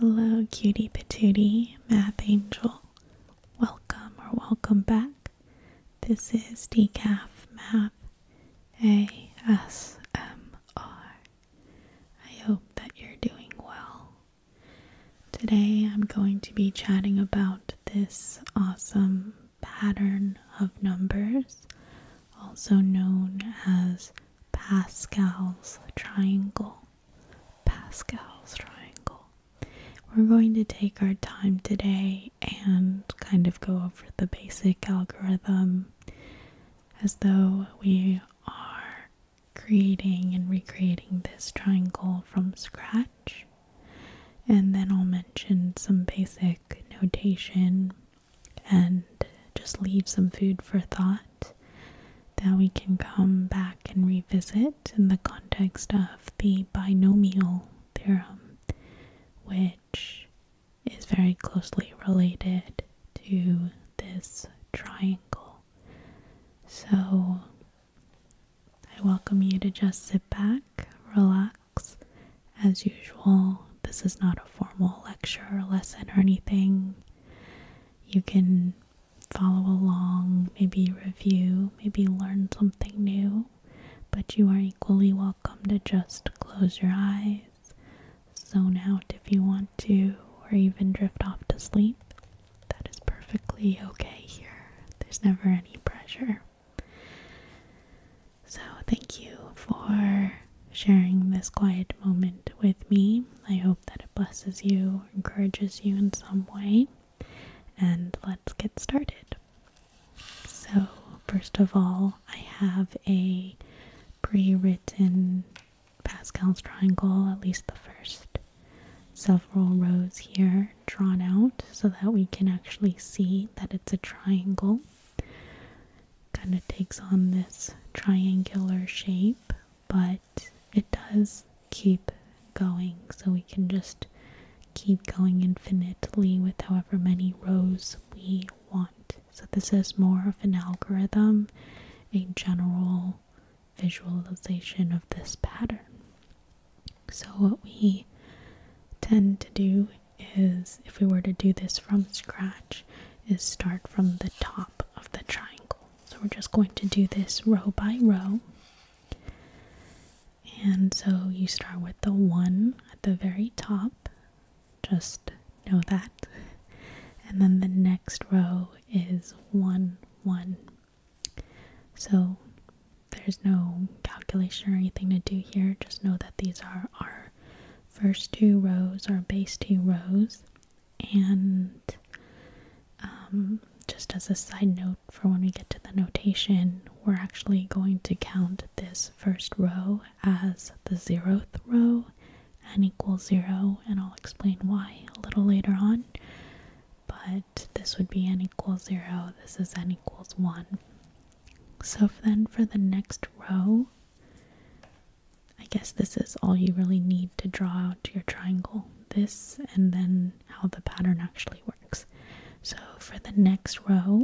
Hello, cutie patootie, math angel. Welcome or welcome back. This is Decaf Math A S M R. I hope that you're doing well. Today I'm going to be chatting about this awesome pattern of numbers, also known as Pascal's triangle. Pascal's triangle. We're going to take our time today and kind of go over the basic algorithm as though we are creating and recreating this triangle from scratch. And then I'll mention some basic notation and just leave some food for thought that we can come back and revisit in the context of the binomial theorem, which is very closely related to this triangle. So I welcome you to just sit back, relax. As usual, this is not a formal lecture or lesson or anything. You can follow along, maybe review, maybe learn something new, but you are equally welcome to just close your eyes, zone out if you want to, or even drift off to sleep. That is perfectly okay here. There's never any pressure. So, thank you for sharing this quiet moment with me. I hope that it blesses you, encourages you in some way, and let's get started. So, first of all, I have a pre written Pascal's triangle, at least the first several rows here drawn out so that we can actually see that it's a triangle. Kind of takes on this triangular shape, but it does keep going so we can just keep going infinitely with however many rows we want so this is more of an algorithm a general visualization of this pattern so what we tend to do is if we were to do this from scratch is start from the top of the triangle so we're just going to do this row by row. And so you start with the one at the very top, just know that. And then the next row is one, one. So there's no calculation or anything to do here, just know that these are our first two rows, our base two rows, and um, just as a side note for when we get to the notation, we're actually going to count this first row as the zeroth row and equals zero, and I'll explain why a little later on. But this would be n equals zero, this is n equals one. So then for the next row, I guess this is all you really need to draw out your triangle. This and then how the pattern actually works. So for the next row,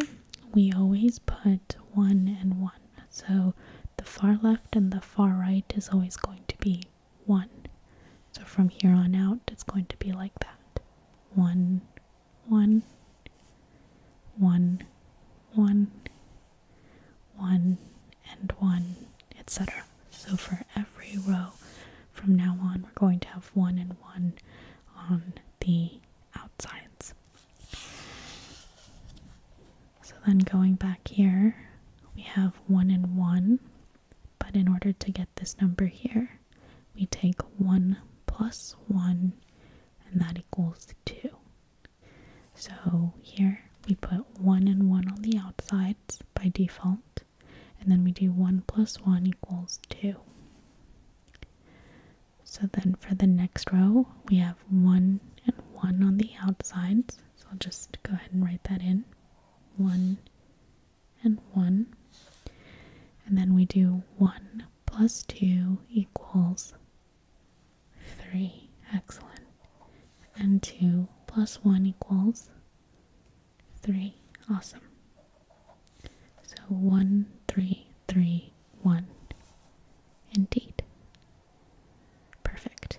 we always put one and one. So the far left and the far right is always going to be one. So from here on out, it's going to be like that. One, one, one, one, 1 and 1, etc. So for every row from now on, we're going to have 1 and 1 on the outsides. So then going back here, we have 1 and 1, but in order to get this number here, we take 1 plus 1, and that equals 2. So here we put 1 and 1 on the outsides by default, and then we do 1 plus 1 equals 2. So then for the next row, we have 1 and 1 on the outsides. So I'll just go ahead and write that in. 1 and 1. And then we do 1 plus 2 equals 3. Excellent. And 2 plus 1 equals 3. Awesome. So one, three, three, one. 3, 3, Indeed. Perfect.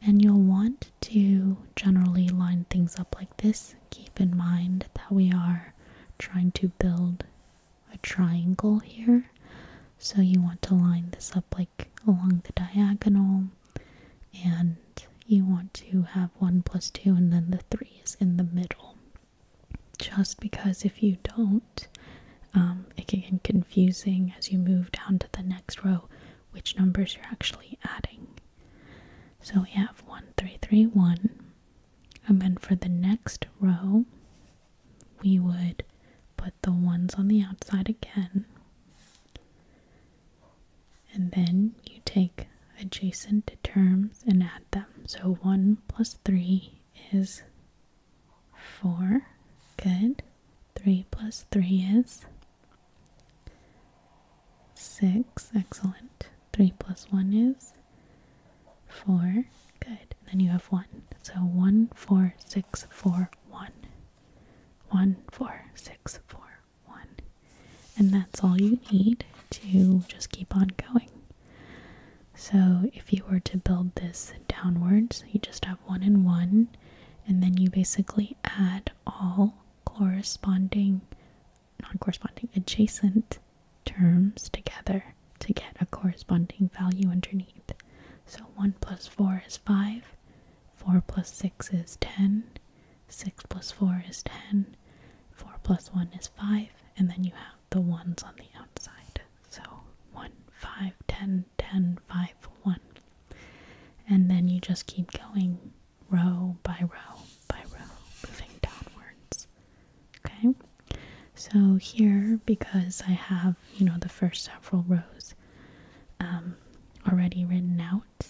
And you'll want to generally line things up like this. Keep in mind that we are trying to build a triangle here. So you want to line this up like along the diagonal and you want to have 1 plus 2 and then the 3 is in the middle. Just because if you don't, um, it can get confusing as you move down to the next row which numbers you're actually adding. So we have 1331 and then for the next row we would put the ones on the outside again. And then you take adjacent terms and add them. So 1 plus 3 is 4. Good. 3 plus 3 is 6. Excellent. 3 plus 1 is 4. Good. then you have 1. So 1, 4, 6, 4, 1 one, four, six, four, one. And that's all you need to just keep on going. So if you were to build this downwards, you just have one and one, and then you basically add all corresponding, non corresponding, adjacent terms together to get a corresponding value underneath. So 1 plus 4 is 5, 4 plus 6 is 10, 6 plus 4 is 10, 4 plus 1 is 5, and then you have the ones on the outside. So 1, 5, 10, 10, 5, 1. And then you just keep going row by row by row, moving downwards. Okay? So here, because I have you know the first several rows um, already written out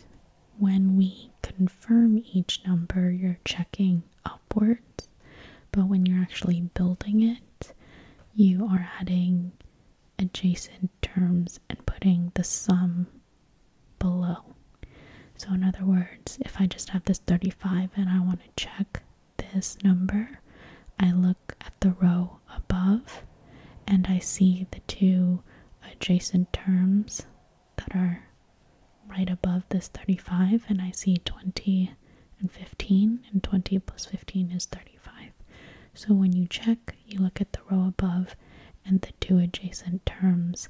when we confirm each number you're checking upwards but when you're actually building it you are adding adjacent terms and putting the sum below so in other words if i just have this 35 and i want to check this number i look at the row above and I see the two adjacent terms that are right above this 35 and I see 20 and 15 and 20 plus 15 is 35. So when you check, you look at the row above and the two adjacent terms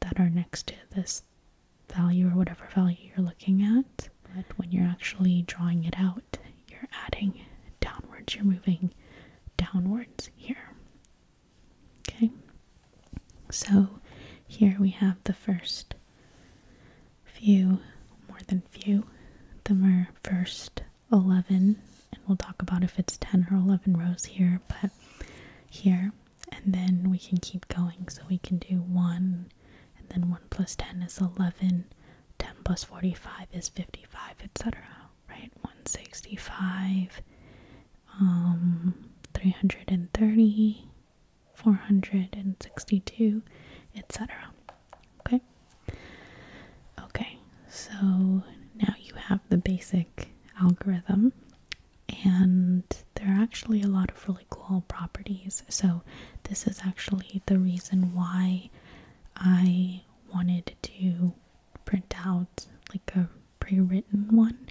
that are next to this value or whatever value you're looking at. But when you're actually drawing it out, you're adding downwards, you're moving downwards here. Okay, so here we have the first few, more than few, the mer first 11, and we'll talk about if it's 10 or 11 rows here, but here, and then we can keep going. So we can do 1, and then 1 plus 10 is 11, 10 plus 45 is 55, etc. Right? 165, um, 330, 462, etc. Okay? Okay, so now you have the basic algorithm, and there are actually a lot of really cool properties. So, this is actually the reason why I wanted to print out like a pre written one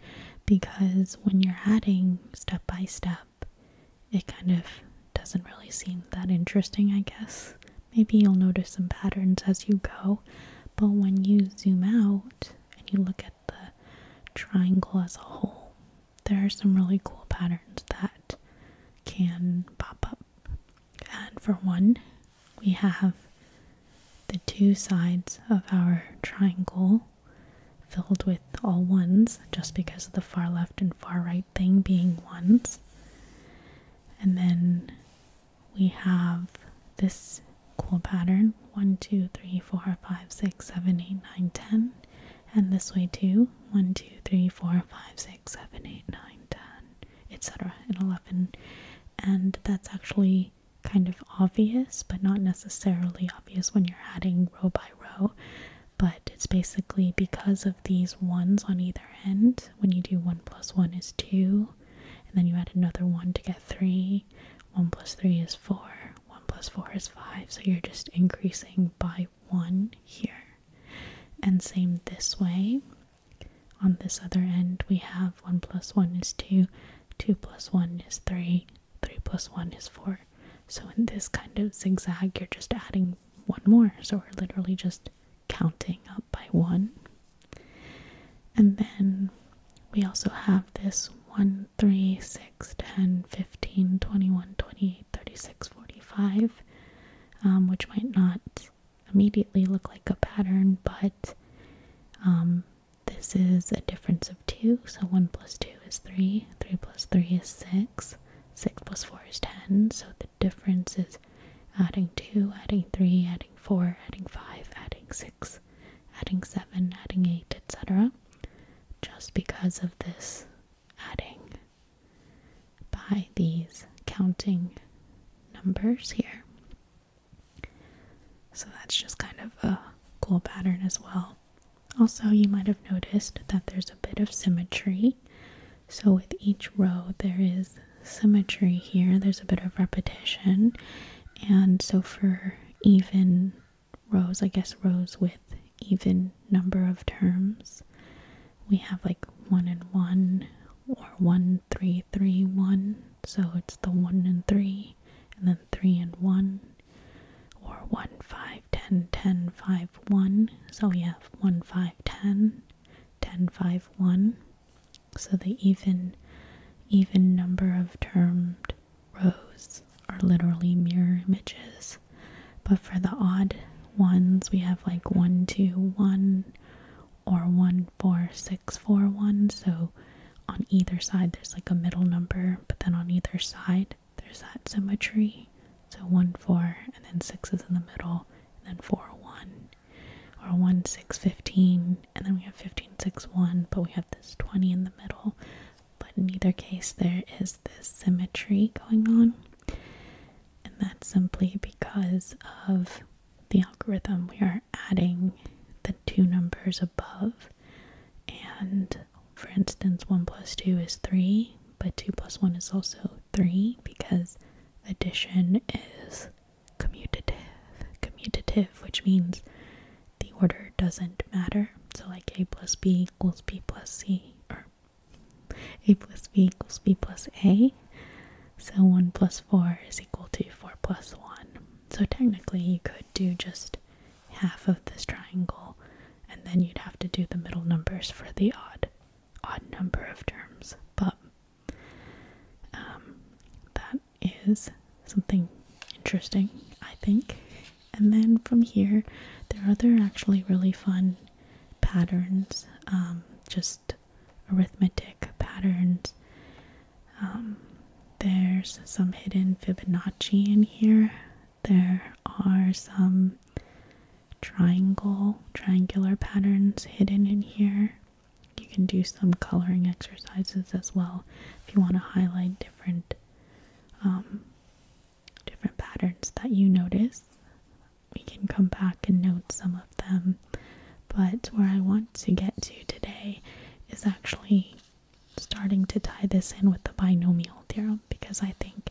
because when you're adding step by step, it kind of doesn't really seem that interesting, I guess. Maybe you'll notice some patterns as you go, but when you zoom out and you look at the triangle as a whole, there are some really cool patterns that can pop up. And for one, we have the two sides of our triangle filled with all ones just because of the far left and far right thing being ones. And then we have this cool pattern 1, 2, 3, 4, 5, 6, 7, 8, 9, 10. And this way too 1, 2, 3, 4, 5, 6, 6, 7, 8, 9, 10, etc., and 11. And that's actually kind of obvious, but not necessarily obvious when you're adding row by row. But it's basically because of these ones on either end. When you do 1 plus 1 is 2, and then you add another 1 to get 3. 1 plus 3 is 4, 1 plus 4 is 5. So you're just increasing by one one here. And same this way. On this other end, we have 1 plus 1 is 2, 2 plus 1 is 3, 3 plus 1 is 4. So in this kind of zigzag, you're just adding one more. So we're literally just counting up by one. And then we also have this one, three, six, ten, fifteen, twenty-one, twenty-eight, thirty-six, forty-five. Um, which might not immediately look like a pattern, but um, this is a difference of 2, so 1 plus 2 is 3, 3 plus 3 is 6, 6 plus 4 is 10, so the difference is adding 2, adding 3, adding 4, adding 5, adding 6, adding 7, adding 8, etc. Just because of this adding by these counting numbers here. So that's just kind of a cool pattern as well. Also, you might have noticed that there's a bit of symmetry. So with each row, there is symmetry here. There's a bit of repetition. And so for even rows, I guess rows with even number of terms, we have like one and one or one three three one so it's the one and three and then three and one or one five ten ten five one so we have one five ten ten five one so the even even number of termed rows are literally mirror images but for the odd ones, we have like one, two, one, or one, four, six, four, one. So on either side, there's like a middle number, but then on either side, there's that symmetry. So one, four, and then six is in the middle, and then four, one, or one, six, fifteen, and then we have fifteen, six, one, but we have this twenty in the middle. But in either case, there is this symmetry going on and that's simply because of the algorithm. We are adding the two numbers above, and for instance, 1 plus 2 is 3, but 2 plus 1 is also 3 because addition is commutative, commutative, which means the order doesn't matter. So, like a plus b equals b plus c, a plus b equals b plus a. So 1 plus 4 is equal to 4 plus 1. So technically you could do just half of this triangle and then you'd have to do the middle numbers for the odd odd number of terms. But um, that is something interesting, I think. And then from here, there are other actually really fun patterns, um, just arithmetic patterns. Um, there's some hidden Fibonacci in here. There are some triangle, triangular patterns hidden in here. You can do some coloring exercises as well if you want to highlight different um, different patterns that you notice we can come back and note some of them. But where I want to get to today is actually starting to tie this in with the binomial theorem because I think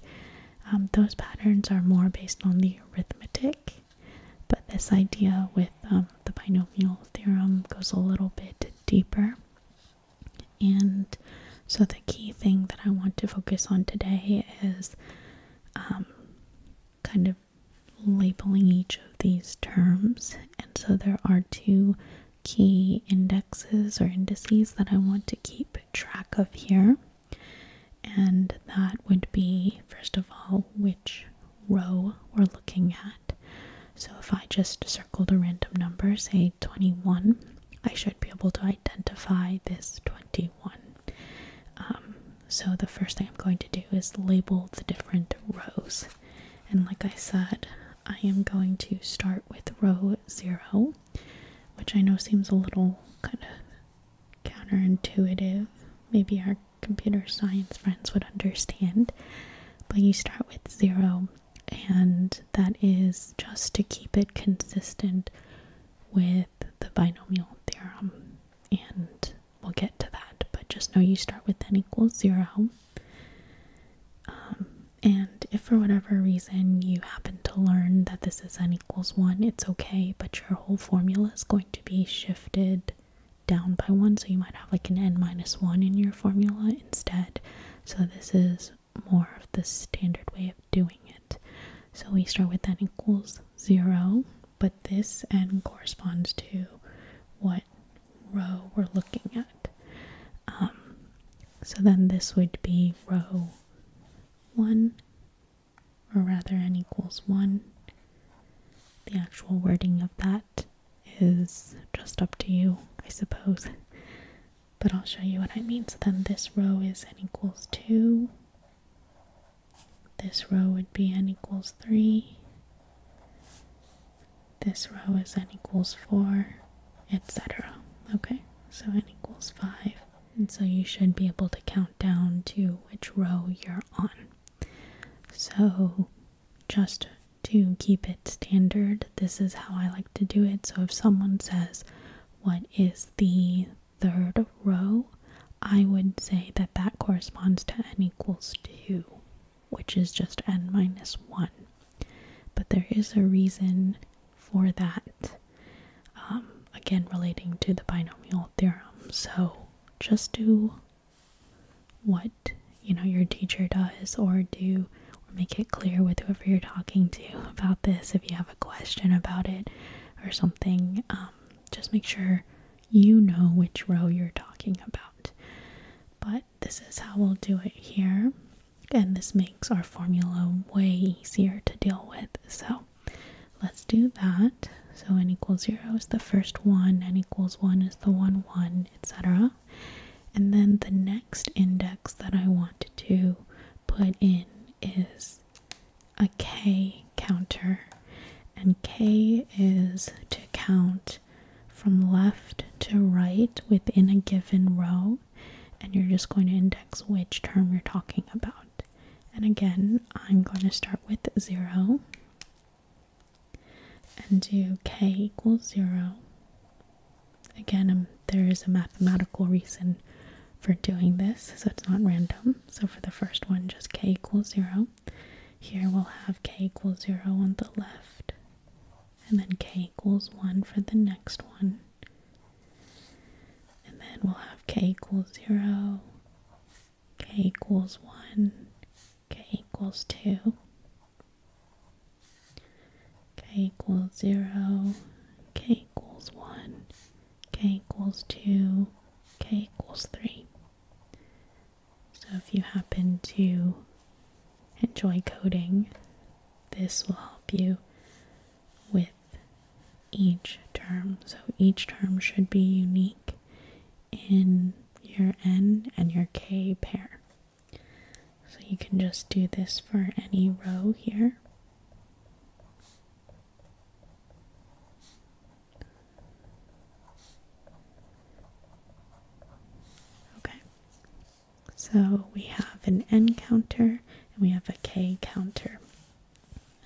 um, those patterns are more based on the arithmetic. But this idea with um, the binomial theorem goes a little bit deeper. And so, the key thing that I want to focus on today is um, kind of labeling each of these terms. And so, there are two key indexes or indices that I want to keep track of here. And that would be, first of all, which row we're looking at. So if I just circled a random number, say 21, I should be able to identify this 21 one. Um, so the first thing I'm going to do is label the different rows. And like I said, I am going to start with row zero, which I know seems a little kind of counterintuitive. Maybe our computer science friends would understand. But you start with zero, and that is just to keep it consistent with the binomial theorem, and we'll get to that. But just know you start with n equals zero. Um, and if for whatever reason you happen to learn that this is n equals one, it's okay, but your whole formula is going to be shifted down by one, so you might have like an n minus one in your formula instead. So this is more of the standard way of doing it. So we start with n equals 0, but this n corresponds to what row we're looking at. Um, so then this would be row 1, or rather n equals 1. The actual wording of that is just up to you, I suppose but I'll show you what I mean. So then this row is n equals 2. This row would be n equals 3. This row is n equals 4, etc. Okay, so n equals 5. And so you should be able to count down to which row you're on. So just to keep it standard, this is how I like to do it. So if someone says, what is the third row, I would say that that corresponds to n equals 2, which is just n minus 1. But there is a reason for that, um, again relating to the binomial theorem. So just do what you know your teacher does or do or make it clear with whoever you're talking to about this if you have a question about it or something, um, just make sure you know which row you're talking about. But this is how we'll do it here, and this makes our formula way easier to deal with. So let's do that. So n equals 0 is the first one, n equals 1 is the 1, 1, etc. And then the next index that I want to put in is a K counter, and K is to count from left to right within a given row, and you're just going to index which term you're talking about. And again, I'm going to start with 0 and do k equals 0 Again, um, there is a mathematical reason for doing this, so it's not random. So for the first one, just k equals 0. Here we'll have k equals 0 on the left, and then k equals 1 for the next one. And then we'll have k equals 0, k equals 1, k equals 2 k equals 0, k equals 1, k equals 2, k equals 3. So if you happen to enjoy coding, this will help you with each term. So each term should be unique in your n and your k pair. So you can just do this for any row here. Okay, so we have an N counter and we have a K counter.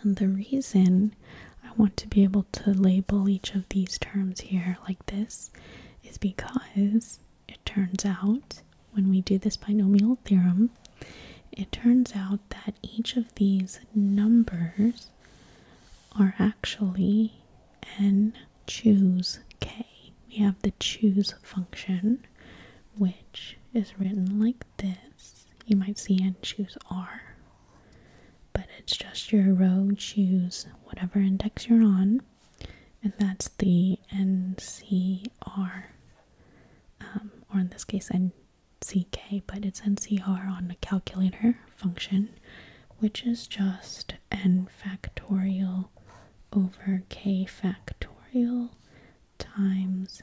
And the reason I want to be able to label each of these terms here like this is because it turns out when we do this binomial theorem, it turns out that each of these numbers are actually n choose k. We have the choose function, which is written like this. You might see n choose r, but it's just your row choose whatever index you're on, and that's the ncr um, or in this case nck, but it's ncr on the calculator function, which is just n factorial over k factorial times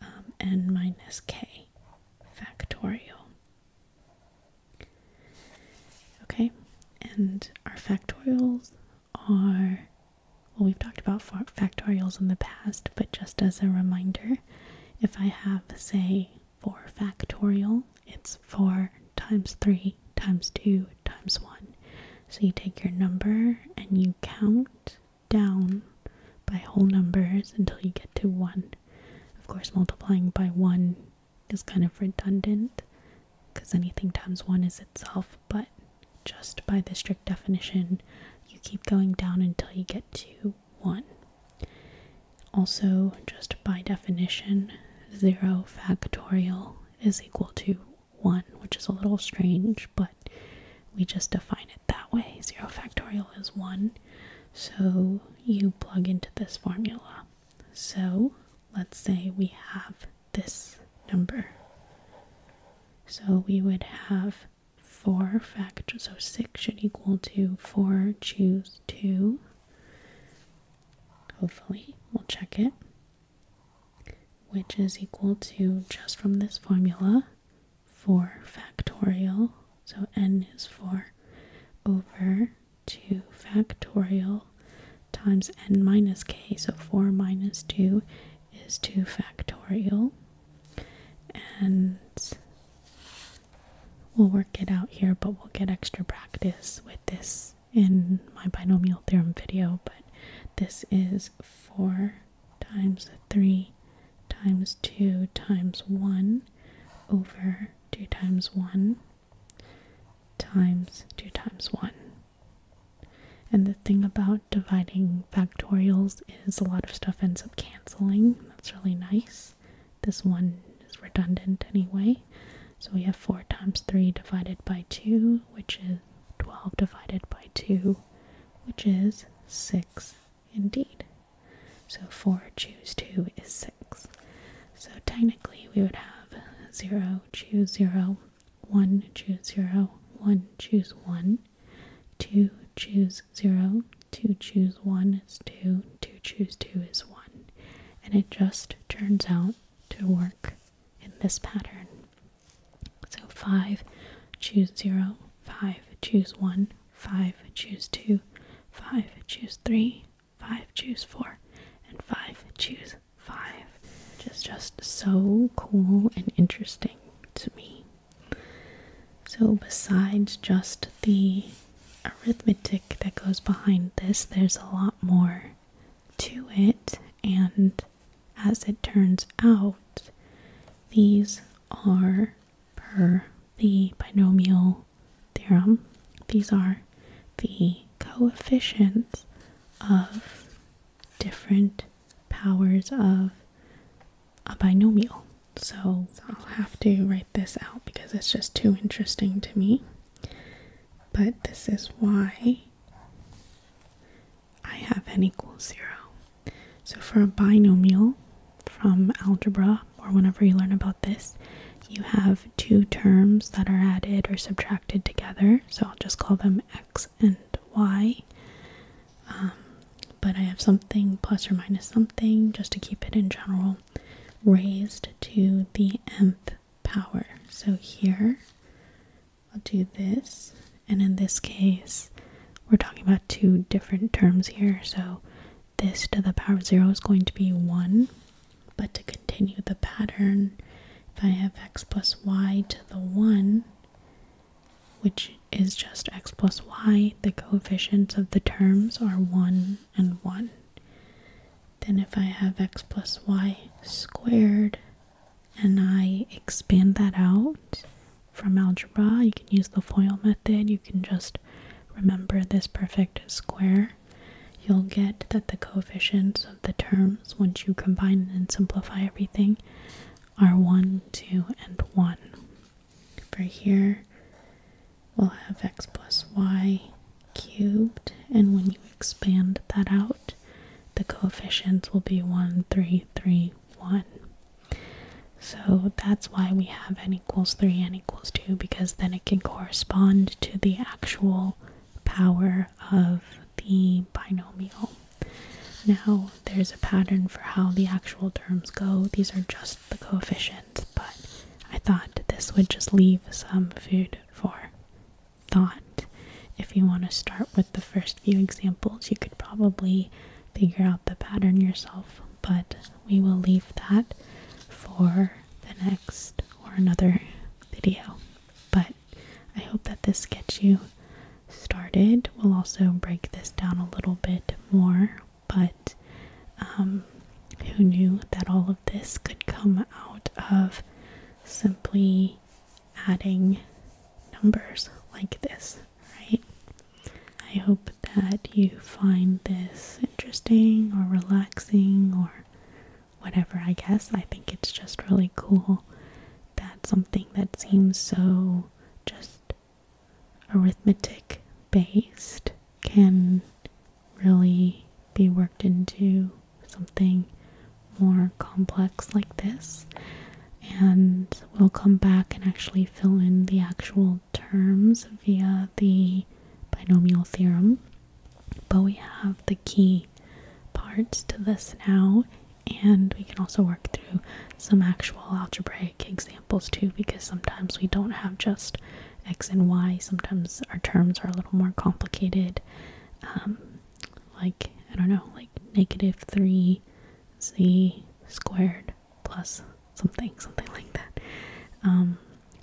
um, n minus k factorial. Okay, and our factorials are, well, we've talked about factorials in the past, but just as a reminder, if I have, say, 4 factorial, it's 4 times 3 times 2 times 1. So you take your number and you count down by whole numbers until you get to 1. Of course, multiplying by 1 is kind of redundant because anything times 1 is itself but just by the strict definition, you keep going down until you get to 1. Also, just by definition, 0 factorial is equal to 1, which is a little strange, but we just define it that way. 0 factorial is 1, so you plug into this formula. So, let's say we have this number. So we would have 4 factorial. so 6 should equal to 4 choose 2. Hopefully, we'll check it. Which is equal to, just from this formula, 4 factorial, so n is 4, over 2 factorial times n minus k, so 4 minus 2 is 2 factorial and we'll work it out here but we'll get extra practice with this in my binomial theorem video but this is 4 times 3 times 2 times 1 over 2 times 1 times 2 times 1 and the thing about dividing factorials is a lot of stuff ends up canceling. That's really nice. This one is redundant anyway. So we have 4 times 3 divided by 2, which is 12 divided by 2, which is 6 indeed. So 4 choose 2 is 6. So technically we would have 0 choose 0 1 choose 0, 1 choose 1, 2 choose 0, 2 choose 1 is 2, 2 choose 2 is 1. And it just turns out to work in this pattern. So 5 choose 0, 5 choose 1, 5 choose 2, 5 choose 3, 5 choose 4, and 5 choose five, which is just so cool and interesting to me. So, besides just the arithmetic that goes behind this, there's a lot more to it, and as it turns out, these are per the binomial theorem, these are the coefficients of different powers of a binomial. So I'll have to write this out because it's just too interesting to me. But this is why I have n equals 0. So for a binomial from algebra or whenever you learn about this, you have two terms that are added or subtracted together. So I'll just call them x and y. Um, but I have something plus or minus something just to keep it in general raised to the nth power. So here I'll do this, and in this case, we're talking about two different terms here. So this to the power of 0 is going to be 1, but to continue the pattern, if I have x plus y to the 1, which is just x plus y, the coefficients of the terms are 1 and 1. Then if I have x plus y squared and I expand that out from algebra, you can use the FOIL method, you can just remember this perfect square, you'll get that the coefficients the terms, once you combine and simplify everything, are 1, 2, and 1. For here, we'll have x plus y cubed, and when you expand that out, the coefficients will be 1, 3, 3, 1. So that's why we have n equals 3, n equals 2, because then it can correspond to the actual power of the binomial. Now, there's a pattern for how the actual terms go. These are just the coefficients, but I thought this would just leave some food for thought. If you want to start with the first few examples, you could probably figure out the pattern yourself, but we will leave that for the next or another video. But I hope that this gets you started. We'll also break this down a little bit more, but um, who knew that all of this could come out of simply adding numbers like this, right? I hope that you find this interesting or relaxing or whatever, I guess. I think it's just really cool that something that seems so just arithmetic based can really be worked into something more complex like this. And we'll come back and actually fill in the actual terms via the binomial theorem. But we have the key parts to this now, and we can also work through some actual algebraic examples too, because sometimes we don't have just x and y, sometimes our terms are a little more complicated. Um, like, I don't know, like negative 3z squared plus something, something like that. Um,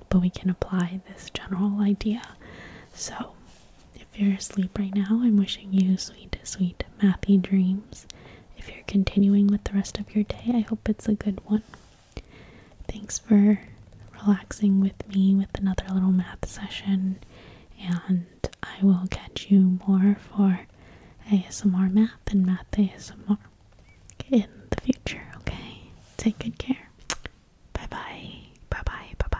but we can apply this general idea. So, if you're asleep right now, I'm wishing you sweet, sweet, mathy dreams. If you're continuing with the rest of your day, I hope it's a good one. Thanks for relaxing with me with another little math session, and I will catch you more for ASMR math and math ASMR in the future, okay? Take good care. Bye bye. Bye bye. Bye bye.